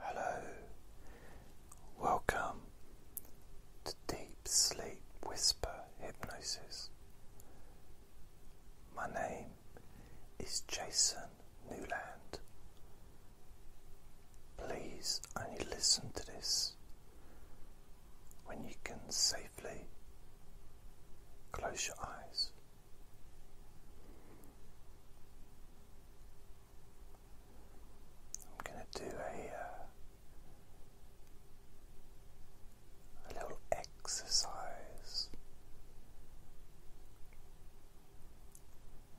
Hello, welcome to Deep Sleep Whisper Hypnosis. My name is Jason Newland. Please only listen to this when you can safely close your eyes. I'm going to do a, uh, a little exercise. I'm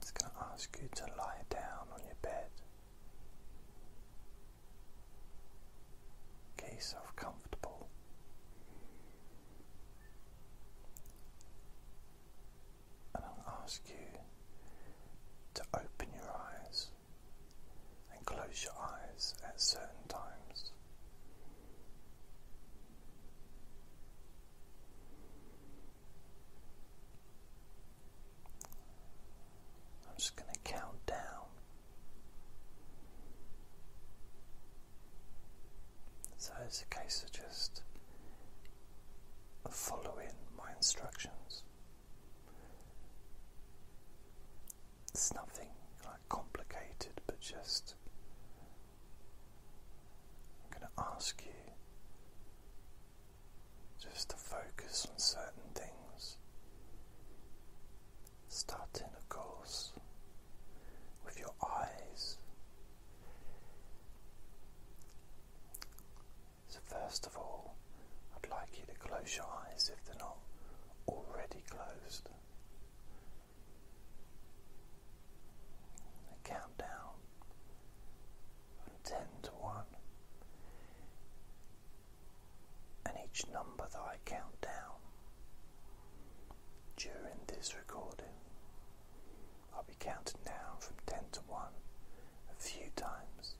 It's going to ask you to lie down on your bed. Get yourself comfortable and I'll ask you to open your eyes and close your eyes at certain times. I'm just going to count down. So it's a case of just following my instructions. It's nothing like complicated, but just I'm going to ask you just to focus on certain things, starting, of course, with your eyes. So, first of all, I'd like you to close your eyes if they're not already closed. I count down from 10 to 1, and each number that I count down during this recording. I'll be counting down from 10 to 1 a few times.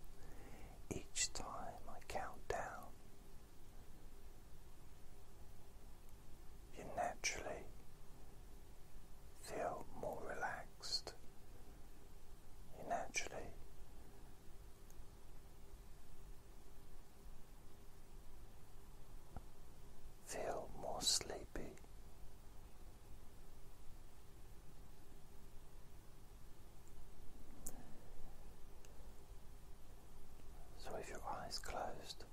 Each time I count down, you naturally feel more relaxed. You naturally feel more sleepy. So, with your eyes closed,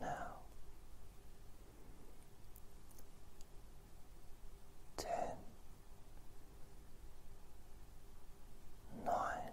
now ten, nine,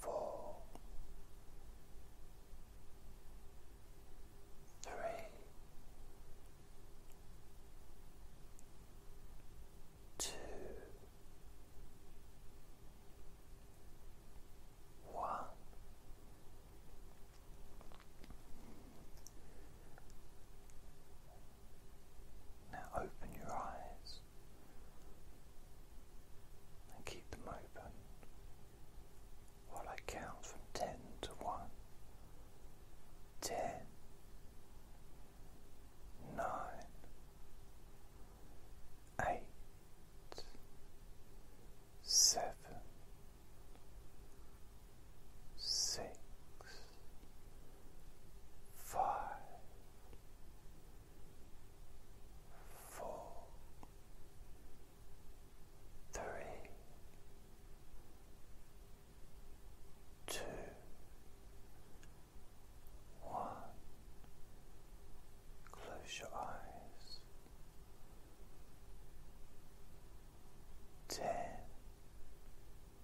four, three, two, one. Now open your eyes and keep them open while I count from ten to one. Ten, nine, eight, seven, six, five, four, three, two, one. Close your eyes. Ten.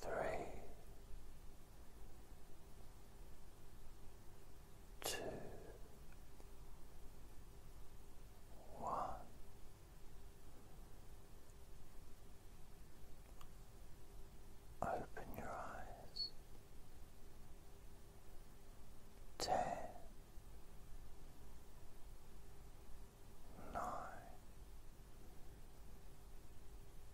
three, two, one. Open your eyes. Ten, nine,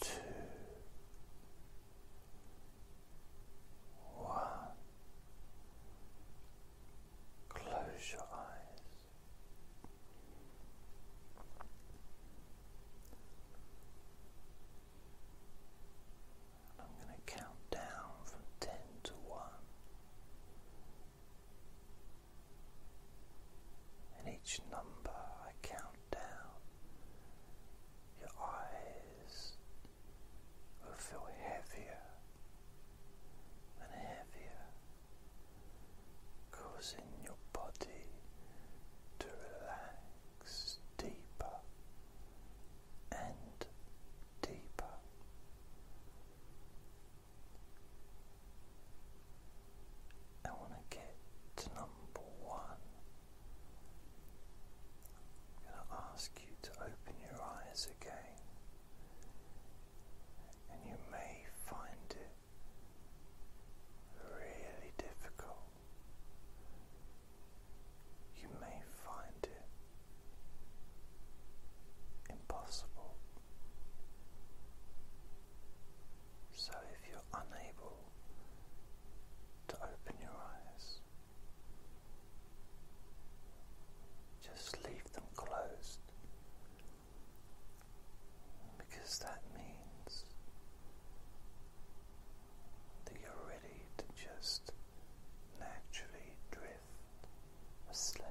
two, one. Close your eyes. I'm going to count down from ten to one and each number I count down, your eyes will feel heavier and heavier, causing your body to relax deeper and deeper. I want to get to number one. I'm going to ask you to open your eyes again, and you may find it really difficult. You may find it impossible. So if you're unable to open your eyes, just leave them closed because that means that you're ready to just naturally drift asleep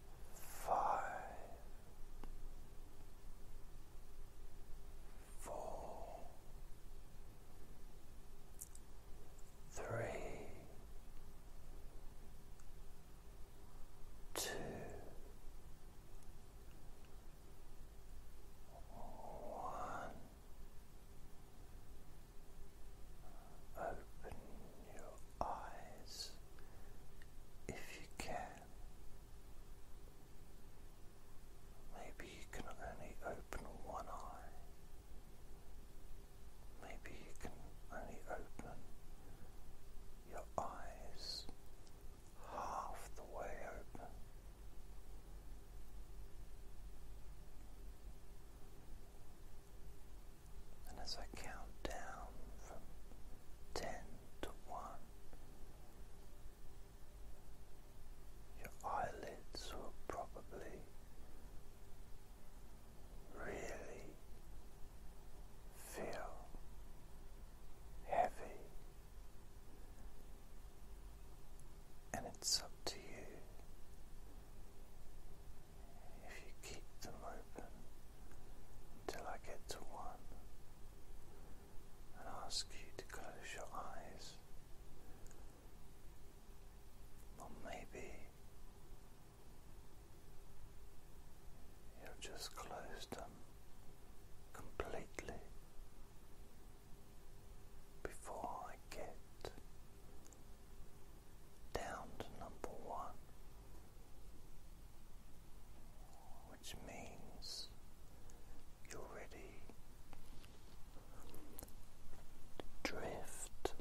five, four, three, two, one. Open your eyes if you can. Maybe you can only open one eye. Maybe you can only open your eyes half the way open. And as I count down from ten to one, your eyelids will probably really feel heavy, and it's up to you if you keep them open until I get to one and ask you to close your eyes. Or maybe you've just closed them completely before I get down to number one, which means you're ready to drift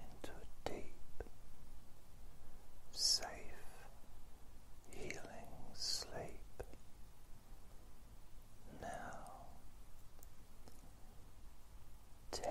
into a deep, safe, healing sleep. Now, ten,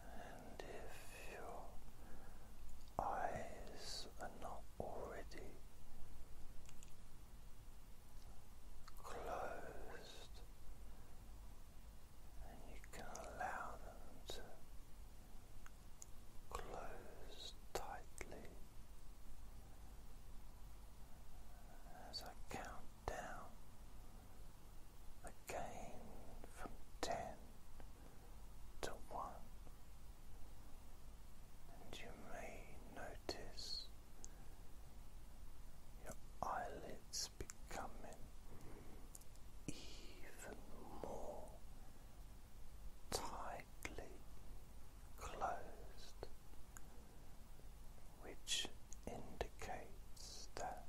And if your eyes are not already closed, you can allow them to close tightly as I count down again from ten to one, and you may notice your eyelids becoming even more tightly closed, which indicates that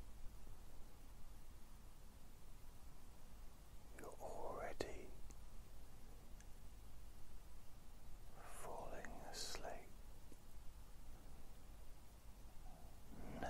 you're already falling asleep. Now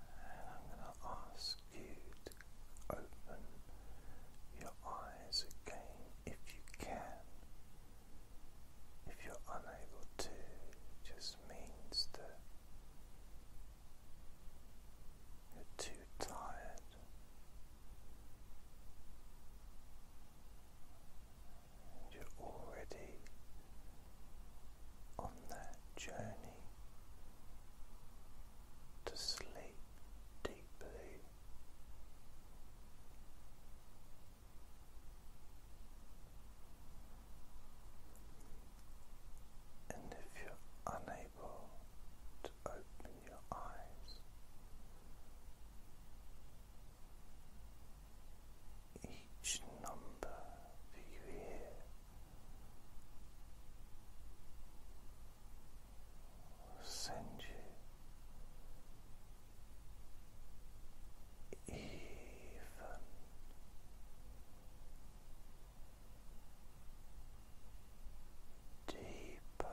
And I'm going to ask you to open your eyes again if you can. If you're unable to, it just means that you're too tired. you're already on that journey to sleep deeply. And if you're unable to open your eyes, each number that you hear send you even deeper.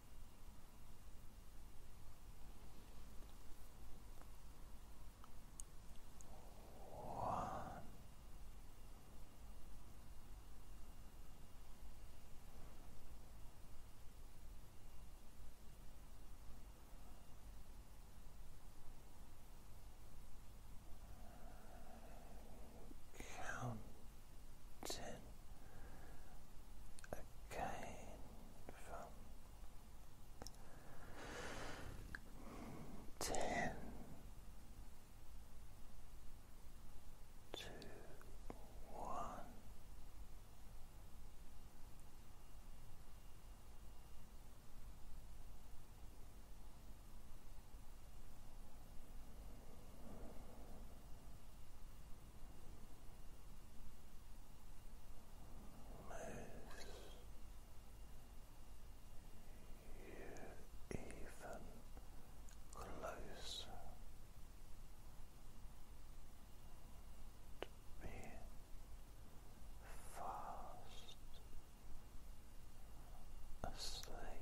One. Counting Okay. from one moves you even closer to being fast asleep.